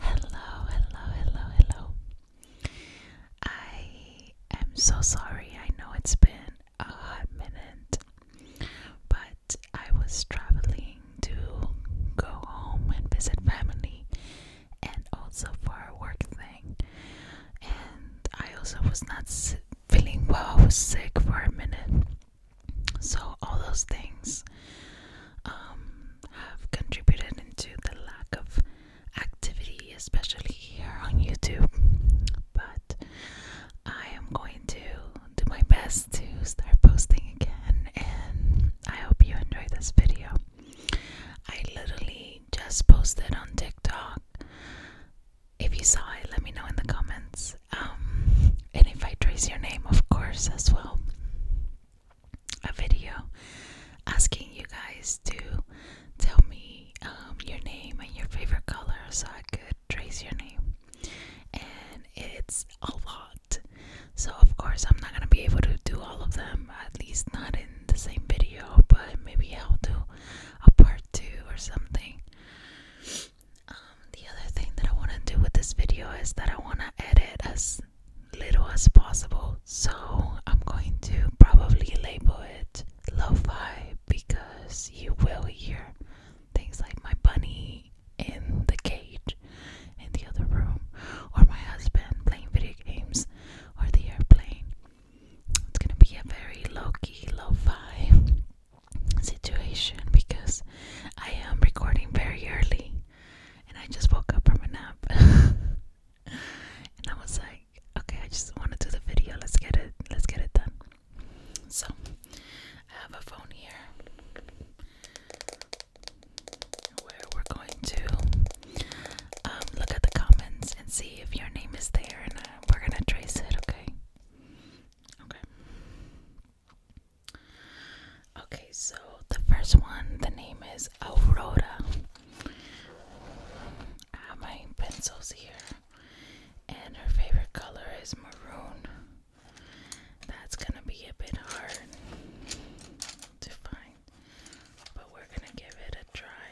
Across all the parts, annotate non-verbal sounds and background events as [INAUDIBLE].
Hello, hello, hello, hello. I am so sorry. I know it's been a hot minute, but I was traveling to go home and visit family and also for a work thing. And I also was not feeling well, I was sick for a minute. So, all those things um, have contributed into the lack of activity, especially here on YouTube. But I am going to do my best to start posting again, and I hope you enjoyed this video. I literally just posted on TikTok. If you saw it, let me know in the comments. Um, and if I trace your name, of course, as well a video asking you guys to tell me um, your name and your favorite color so I could trace your name. And it's a lot. So, of course, I'm not going to be able to do all of them, at least not in the same video, but maybe I'll do a part two or something. Um, the other thing that I want to do with this video is that I want to edit as little as possible. So I'm going to probably label it lo fi because you will hear things like my bunny in the cage in the other room, or my husband playing video games, or the airplane. It's gonna be a very low key, lo fi situation because I am recording very early and I just woke up from a nap. [LAUGHS] and I was like, okay, I just want to do the video. Let's get it. Let's get it done. So, I have a phone here where we're going to um, look at the comments and see if your name is there, and uh, we're gonna trace it. Okay. Okay. Okay, so the first one, the name is Aurora. I have my pencils here, and her favorite color is maroon. That's gonna be a bit hard to find, but we're gonna give it a try.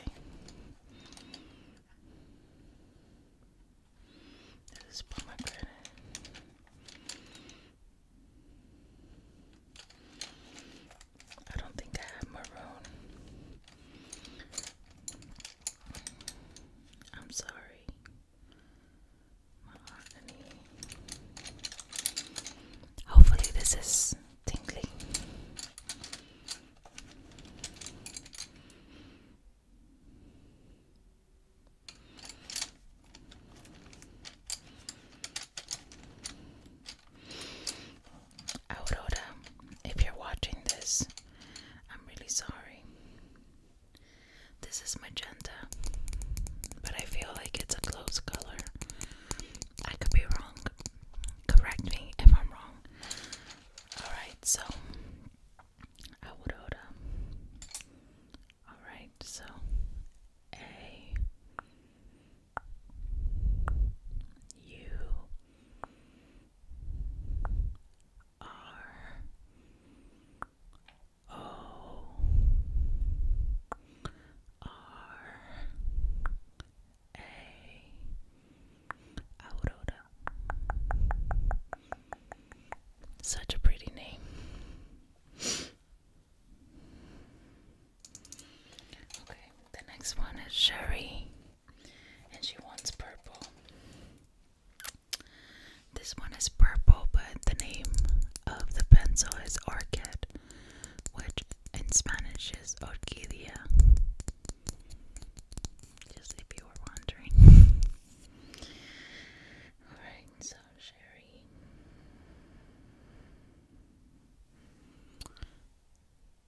This is pomegranate. I don't think I have maroon. I'm sorry. My agony. Hopefully, this is tingly. Aurora, if you're watching this, I'm really sorry. This is magenta, but I feel like it's a close color. I could be wrong. Correct me if I'm wrong. Alright, so Aurora. Alright so A U R O R A Aurora. Such a pretty name. Okay, the next one is Sherry, and she wants purple. This one is purple, but the name of the pencil is Orchid, which in Spanish is Orchidia. Just if you were wondering. [LAUGHS] Alright, so Sherry.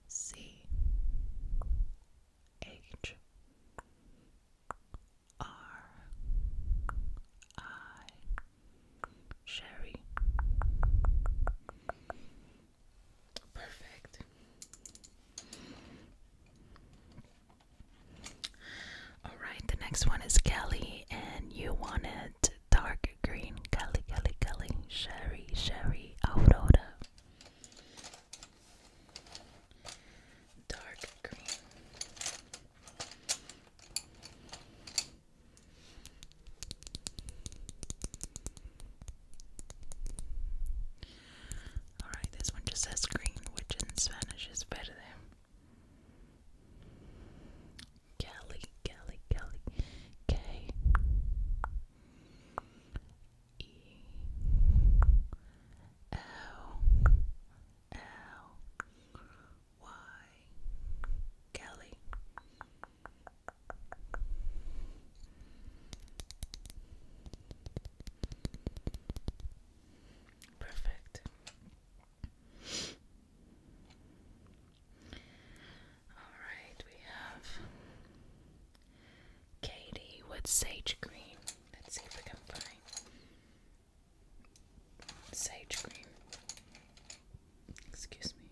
C H R I Sherry. Perfect. All right, the next one is Kelly, and you wanted dark green Kelly Kelly Kelly Sherry Sherry Aurora dark green Alright, this one just says green, which in Spanish is verde. Kelly, Kelly, Kelly, K E L L Y Kelly. Perfect. Alright, we have Katie with sage green. Let's see if we can find sage green. Excuse me.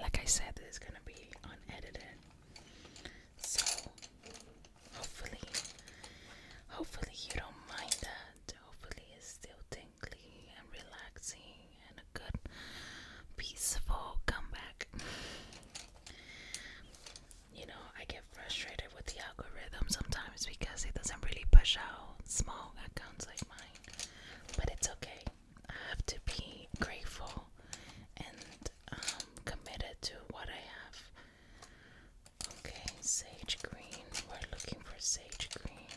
Like I said, this is gonna be unedited. So hopefully hopefully you don't mind that. Hopefully it's still tingly and relaxing and a good peaceful comeback. You know, I get frustrated with the algorithm sometimes because it doesn't really push out small accounts like mine, but it's okay. I have to be grateful and um, committed to what I have. Okay, sage green. We're looking for sage green.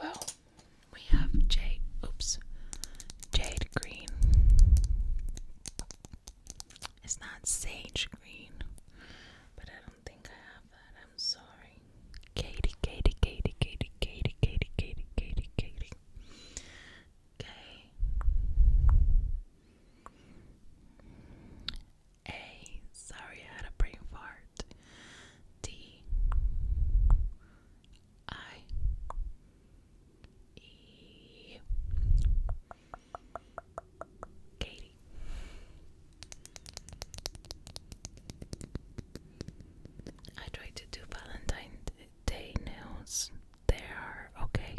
Well, we have J. Oops jade green. It's not sage green, but I don't think I have that. I'm sorry. Katie, Katie, Katie, Katie, Katie, Katie, Katie, Katie, Katie. K A. Sorry, I had a brain fart. D I E. Katie. I tried to do Valentine's Day nails. They are okay.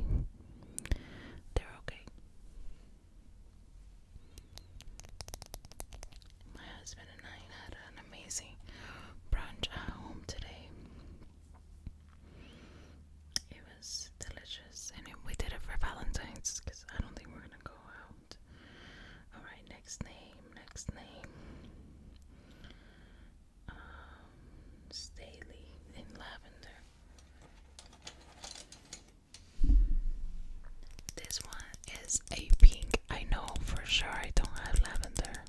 They're okay. My husband and I had an amazing brunch at home today. It was delicious, and we did it for Valentine's because I don't think we're gonna go out. All right, next name, next name. Um, Staley in lavender. This one is a pink. I know for sure I don't have lavender,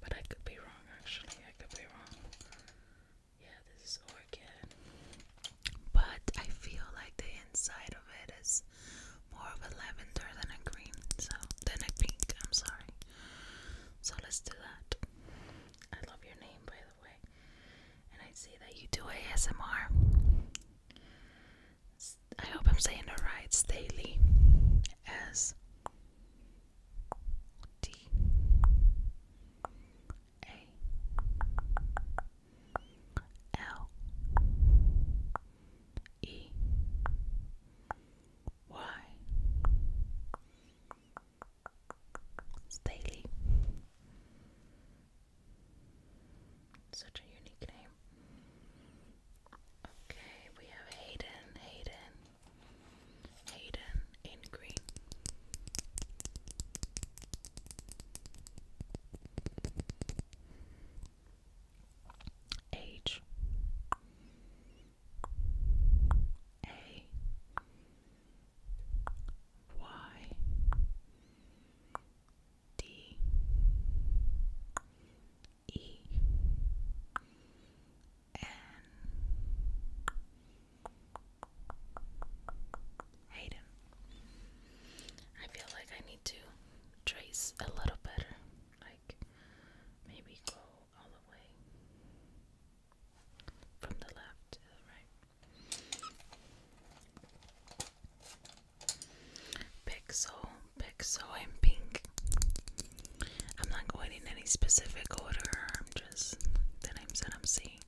but I could be actually. I could be wrong. Yeah, this is orchid. But I feel like the inside of it is more of a lavender than a green, so than a pink, I'm sorry. So let's do that. I love your name by the way. And I see that you do ASMR. I hope I'm saying it right. Staley. S D A L E Y Staley. Such a unique name. Okay, we have Hayden, Hayden, Hayden in green. H A Y D E N Hayden. I feel like I need to trace a little better, like maybe go all the way from the left to the right. Pixel, pixel, and pink. I'm not going in any specific order. I'm just the names that I'm seeing.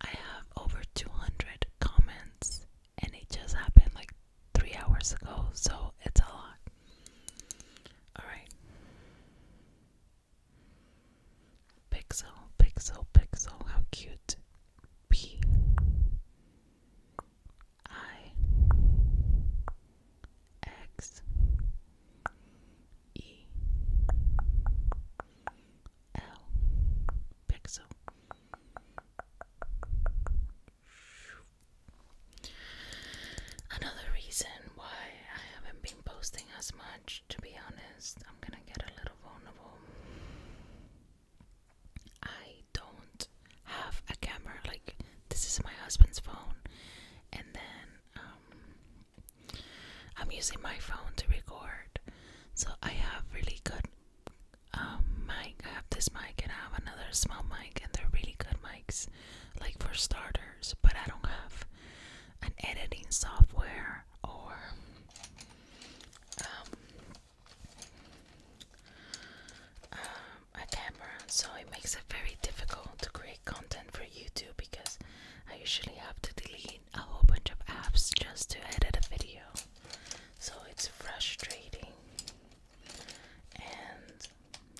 I have over 200 comments, and it just happened like three hours ago, so it's a lot. Alright. Pixel, pixel, pixel. How cute. P. I. X E L Pixel. Another reason why I haven't been posting as much, to be honest, I'm gonna get a little vulnerable. I don't have a camera, like, this is my husband's phone, and then um, I'm using my phone to record, so I have really good um, mic. I have this mic and I have another small mic, and they're really good mics, like for starters. But I don't have an editing software or um, a camera, so it makes it very difficult to create content for YouTube because I usually have to delete a whole bunch of apps just to edit a video. So it's frustrating. And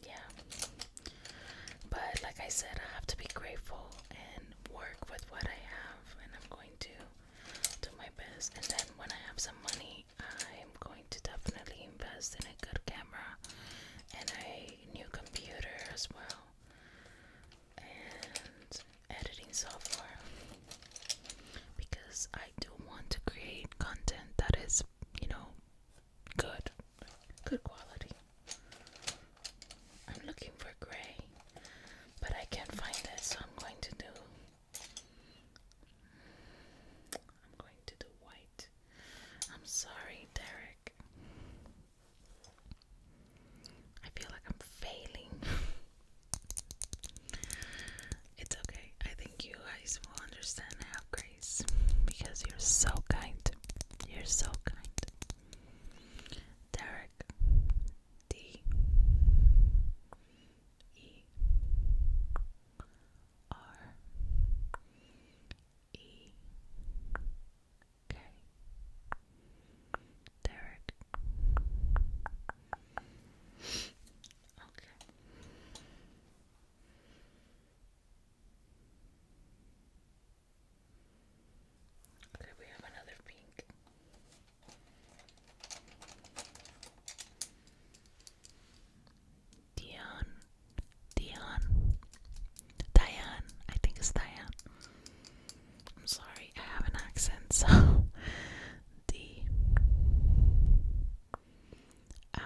yeah. But like I said, I have to be grateful and work with what I have and I'm going to do my best. And then when I have some money, I'm going to definitely invest in a good camera and I new computer as well and editing software because I do want to create content that is, you know, good, good quality. I'm looking for gray, but I can't find it, so I'm going to do. I'm going to do white. I'm sorry, Derek. I feel like I'm failing. [LAUGHS] it's okay. I think you guys will understand and grace because you're so kind. You're so kind. Derek D E R E K Derek. Okay. Okay, we have another pink. Dion, Dion, Diane. I think it's Diane. I'm sorry, I have an accent, so [LAUGHS] D I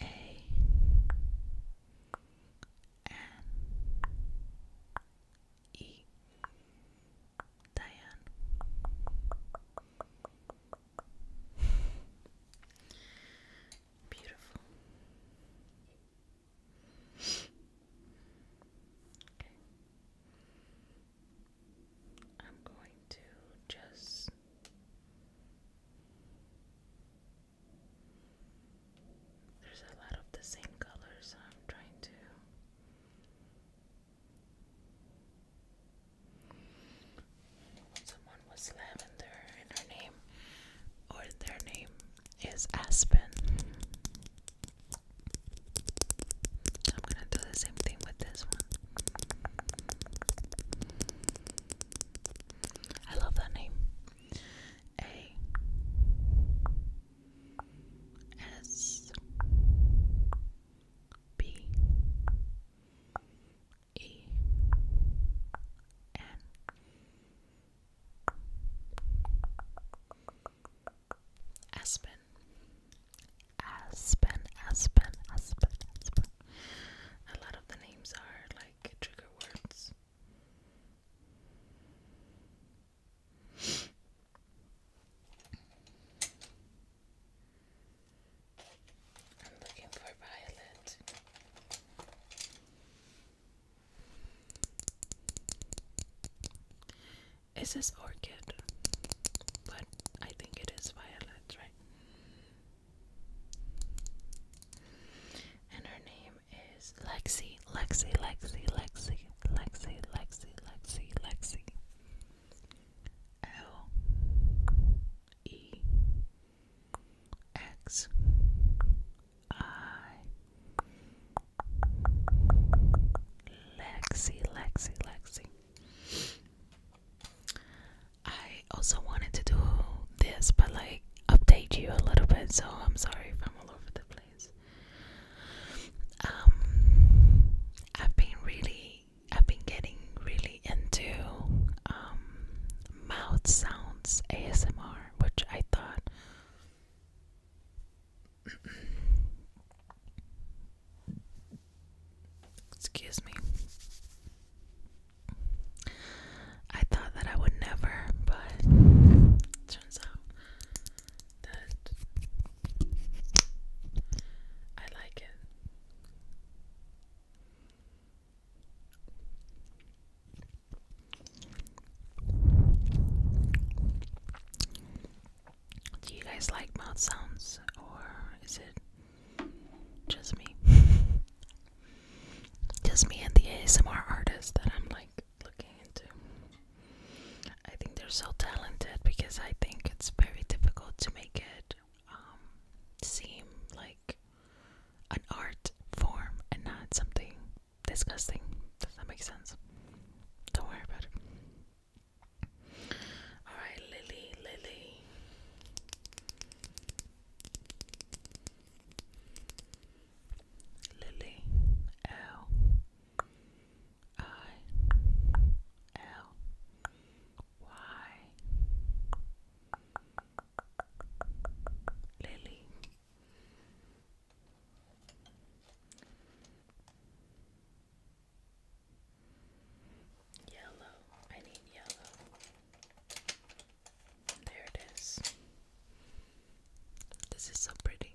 A N E Diane Beautiful. Okay. I'm going to just There's a lot of the same colors I'm trying to or their name, is Aspen. I'm gonna do the same thing with this one. I love that name. A S B E N Aspen Aspen Aspen Aspen Aspen A lot of the names are like trigger words I'm looking for Violet. Is this orchid? But I think it is Violet, right? And her name is Lexi, Lexi, Lexi, Lexi, Lexi, Lexi, Lexi, Lexi. L E X I Lexi, Lexi, Lexi. I also wanted to do this, but like update you a little bit, so I'm sorry if I'm all over the place. Um, I've been really I've been getting really into um, mouth sounds ASMR, which I thought [CLEARS THROAT] excuse me. I thought that I would never, but turns out that I like it. Do you guys like mouth sounds or is it just me? [LAUGHS] just me and the ASMR artists that I'm like looking into. I think they're so talented because I think it's very difficult to make it um, seem like an art form and not something disgusting. Does that make sense? Don't worry about it. Alright, Lily, Lily. Lily L I L Y Lily. Yellow. I need yellow. There it is. This is so pretty.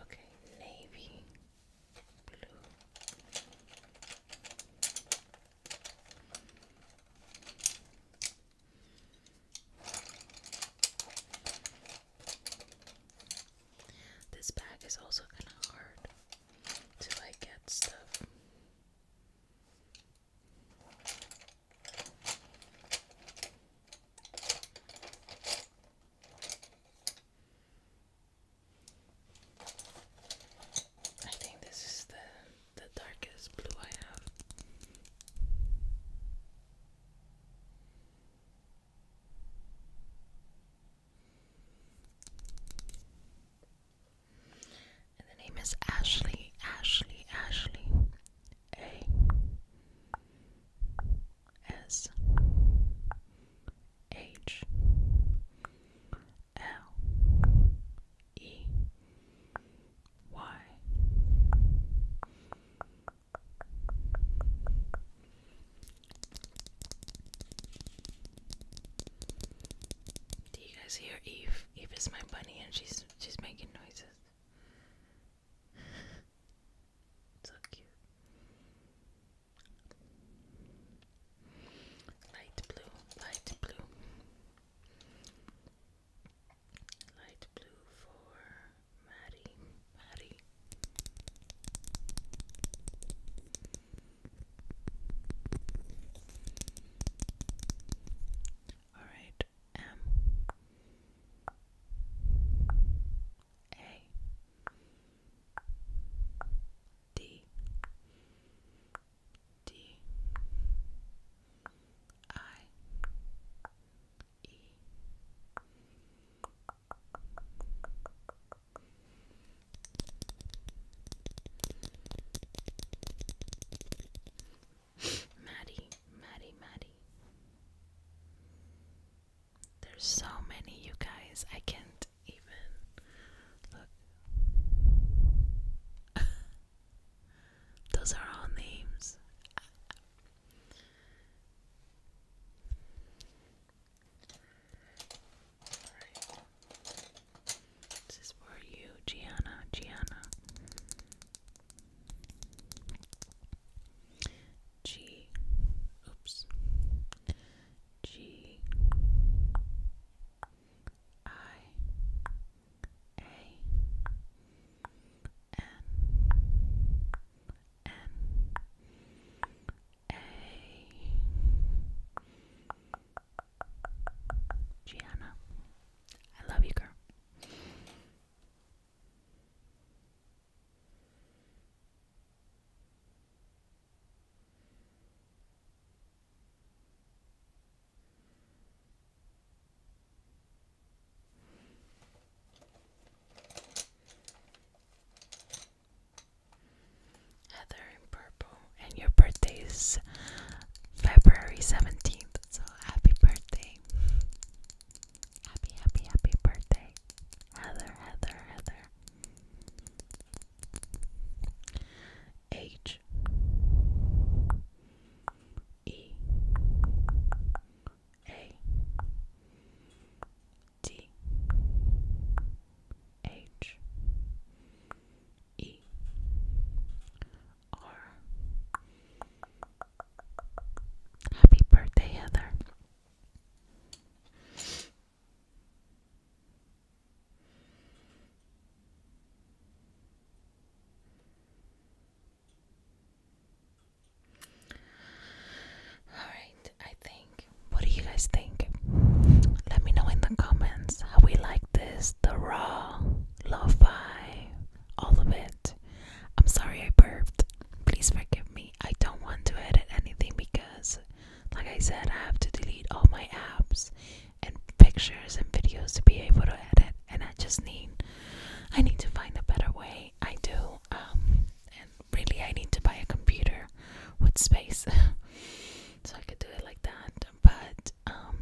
Okay, navy blue. This bag is also kind of hard to like get stuff. I think this is the the darkest blue I have. And the name is Ashley, Ashley, Ashley. A S H L E Y Do you guys hear Eve? Eve is my bunny and she's she's making noises. [LAUGHS] so cute. Light blue, light blue, light blue for Maddie, Maddie. All right, M um, A D D I E Maddie, Maddie, Maddie. There's so many, you guys. I can't even look. [LAUGHS] Those are all names. Alright. This is for you, Gianna. Gianna. G, oops, G, I, A, N, N, A, Gianna. I love you, girl. Heather in purple, and your birthday is February 17th, so happy birthday. Happy, happy, happy birthday, Heather, Heather, Heather. H E A D H E R Happy birthday, Heather. All right, I think. What do you guys think? Let me know in the comments how we like this, the raw, lo-fi, all of it. I'm sorry I burped. Please forgive me. I don't want to edit anything because, like I said, I have to delete all my apps and pictures and videos to be able to edit. And I just need, I need to find a better way. I do. Um, and really, I need to buy a computer with space [LAUGHS] so I could do it like that. But um,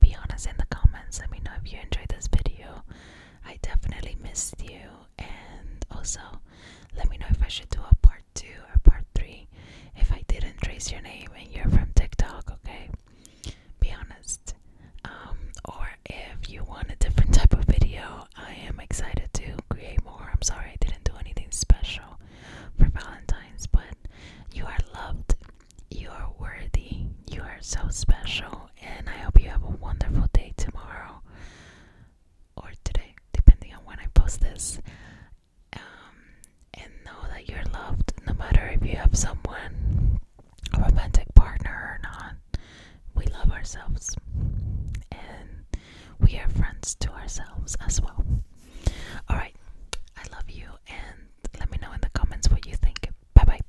be honest in the comments. Let me know if you enjoyed this video. I definitely missed you. And also, let me know if I should do a part two or part three if I didn't trace your name and you're from TikTok, okay? Be honest. Um, or if you want a different type of video, I am excited to create more. I'm sorry I didn't do anything special for Valentine's, but you are loved, you are worthy, you are so special and I hope you have a wonderful day tomorrow or today, depending on when I post this. Um, and know that you're loved no matter if you have someone, a romantic partner or not. We love ourselves, and we are friends to ourselves as well. Alright, I love you, and let me know in the comments what you think. Bye bye.